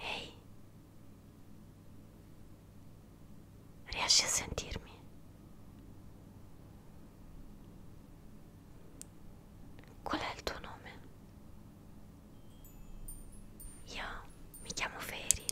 Ei, reaste a sentir-me? Qual è il tuo nome? Io mi chiamo Feri.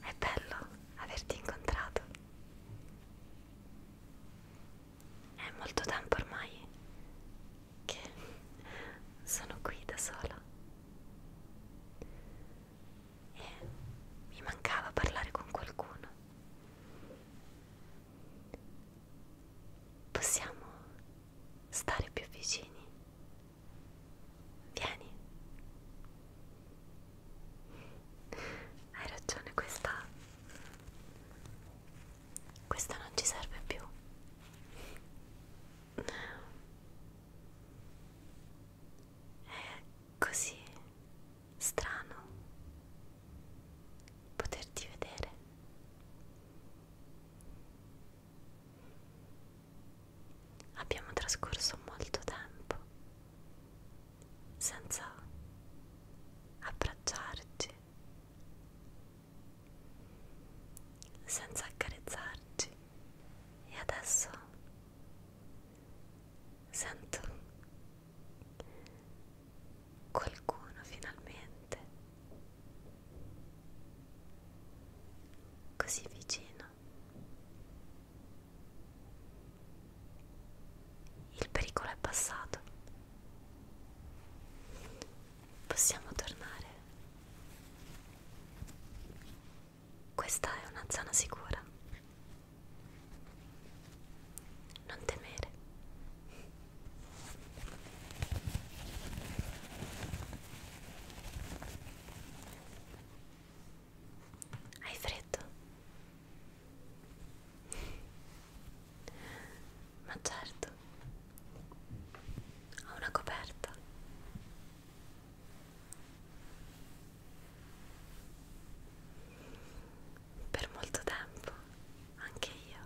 È bello averti incontrato. È molto tempo ormai che sono qui da sola. E mi mancava parlare con qualcuno. Possiamo stare più vicini. Vieni. Hai ragione, questa questa non ci serve più. È così strano poterti vedere. Abbiamo trascorso molto tempo senza abbracciarci, senza accarezzarci e adesso Sento qualcuno finalmente così vicino. Il pericolo è passato. Possiamo tornare. Questa è una zona sicura. Non temere. Hai freddo? Ma certo. Ho una coperta. Per molto tempo anche io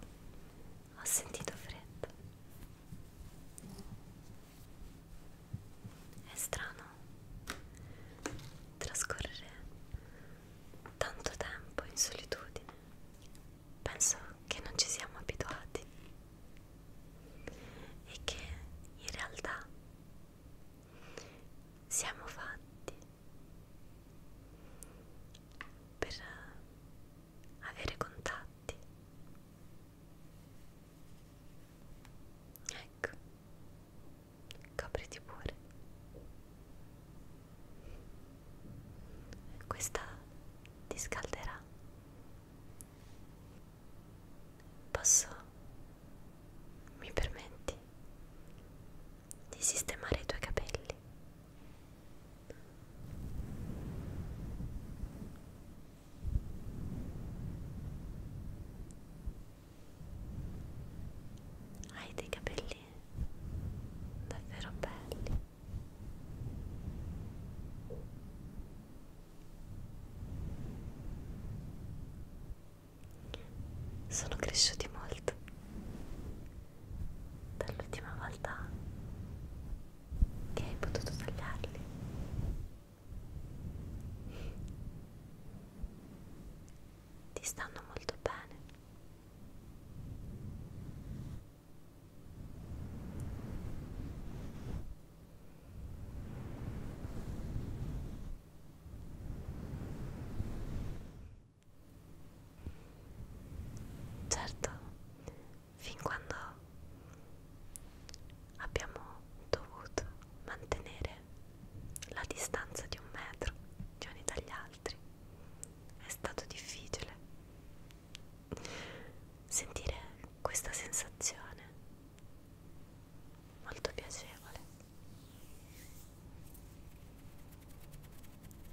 ho sentito freddo. È strano trascorrere tanto tempo in solitudine. Penso che non ci siamo abituati e che in realtà siamo fatti per avere contatti. Ecco, copriti pure. Questa ti scalderà. Posso, mi permetti, di sistemare i tuoi capelli? Hai dei capelli davvero belli sono cresciuti molto dall'ultima volta che hai potuto tagliarli ti stanno molto bene Certo, fin quando abbiamo dovuto mantenere la distanza di un metro gli uni dagli altri, è stato difficile sentire questa sensazione molto piacevole.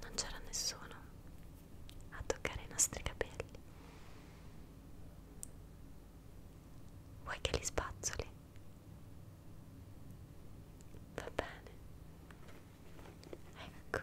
Non c'era nessuno a toccare i nostri capelli. Vuoi che li spazzoli? Va bene. Ecco.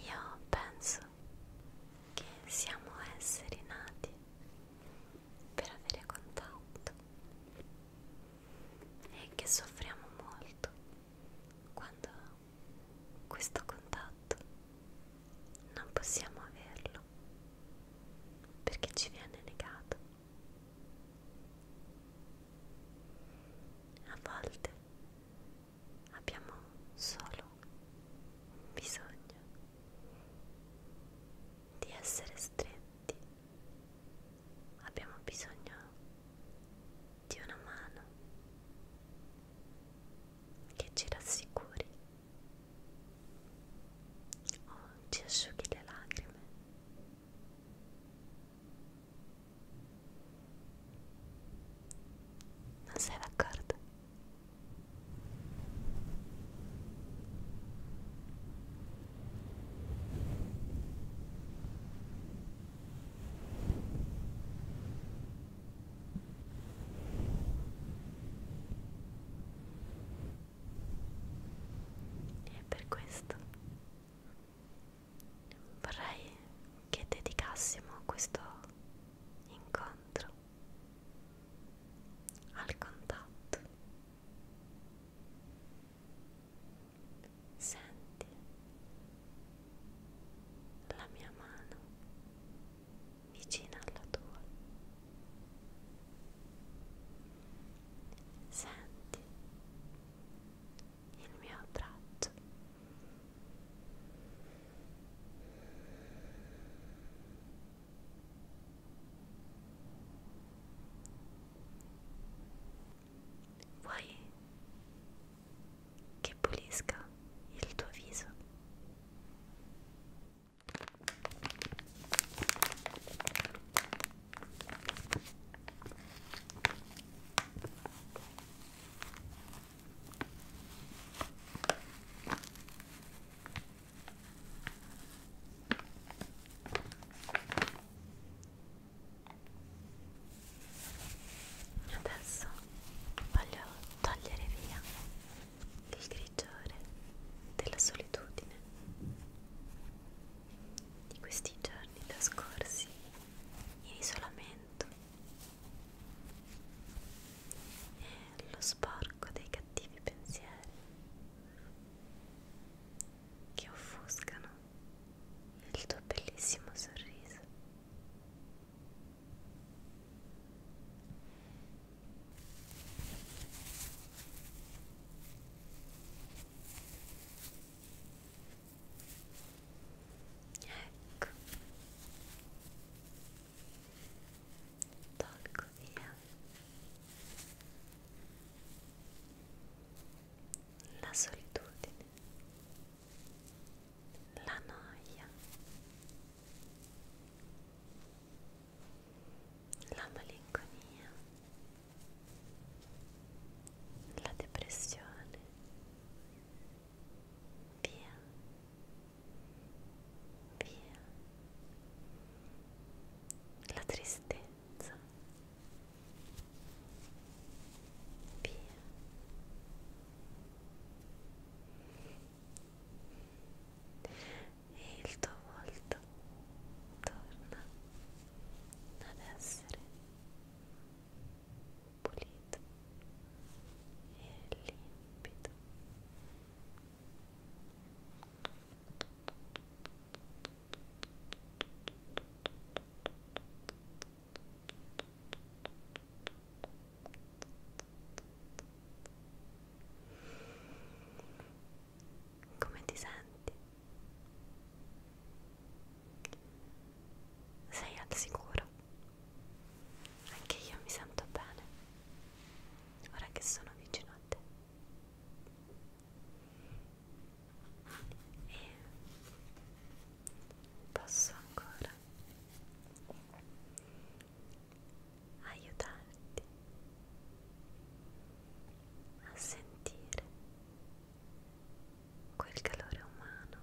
Io penso che siamo esseri nati per avere contatto e che soffriamo molto quando questo contatto non possiamo averlo perché ci viene negato a volte abbiamo solo un bisogno di essere stretti, abbiamo bisogno di una mano che ci rassicuri o ci asciughi le lacrime non sei d'accordo? E per questo vorrei che dedicassimo questo incontro al contatto. Senti la mia mano vicina alla tua senti il mio braccio vuoi che pulisca il tuo viso Adesso voglio togliere via il grigiore della solitudine di questi giorni trascorsi in isolamento e eh, lo sporco dei cattivi pensieri che offuscano il tuo bellissimo sorriso Ecco. Tolgo via la solitudine, la noia la malinconia, la depressione, via, via, la tristezza, via e il tuo volto torna ad essere pulito e limpido come ti senti? Sei al sicuro? Anche io mi sento bene, ora che sono vicino a te. E posso ancora aiutarti a sentire quel calore umano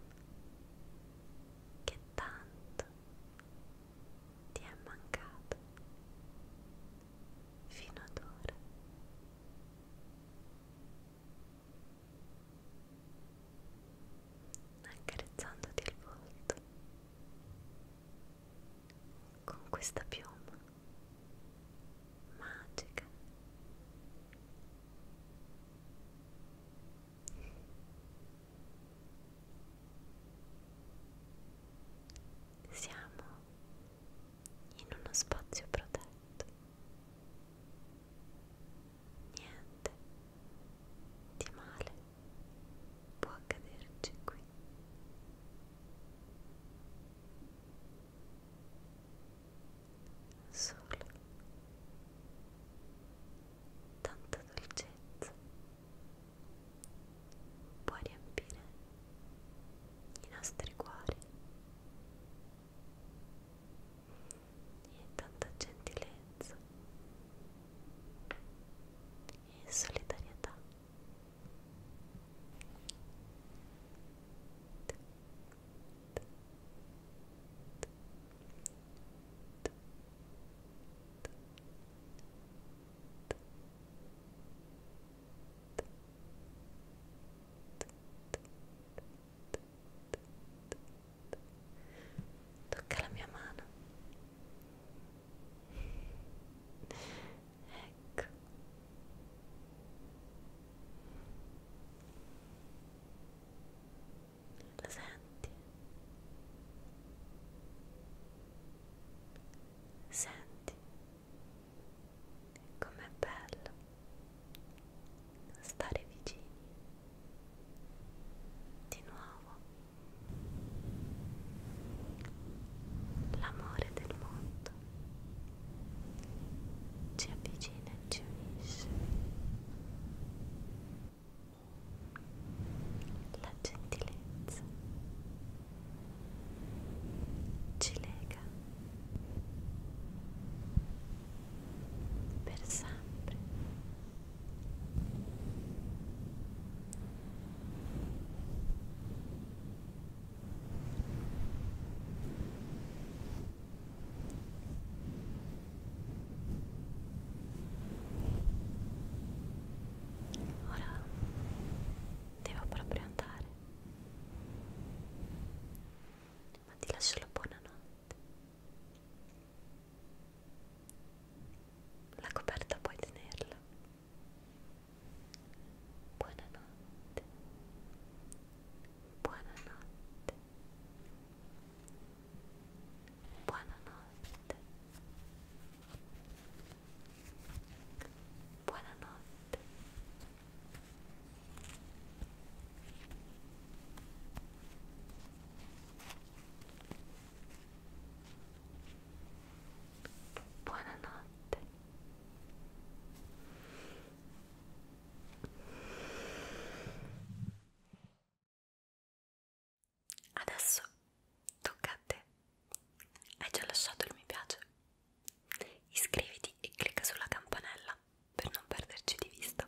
che tanto ti è mancato fino ad ora. Accarezzandoti il volto con questa piuma magica siamo in uno spazio protetto niente di male può accaderci qui. Solo tanta dolcezza può riempire i nostri cuori e tanta gentilezza e solidarietà Tocca la mia mano ecco lo senti senti com'è bello stare vicini di nuovo L'amore del mondo ci avvicina e ci unisce. La gentilezza ci lega per sempre. Ora devo proprio andare, ma ti lascio la buonanotte. La coperta puoi tenerla. Buonanotte. Buonanotte. Buonanotte. Buonanotte. Buonanotte. Adesso tocca a te. Hai già lasciato il mi piace? Iscriviti e clicca sulla campanella per non perderci di vista.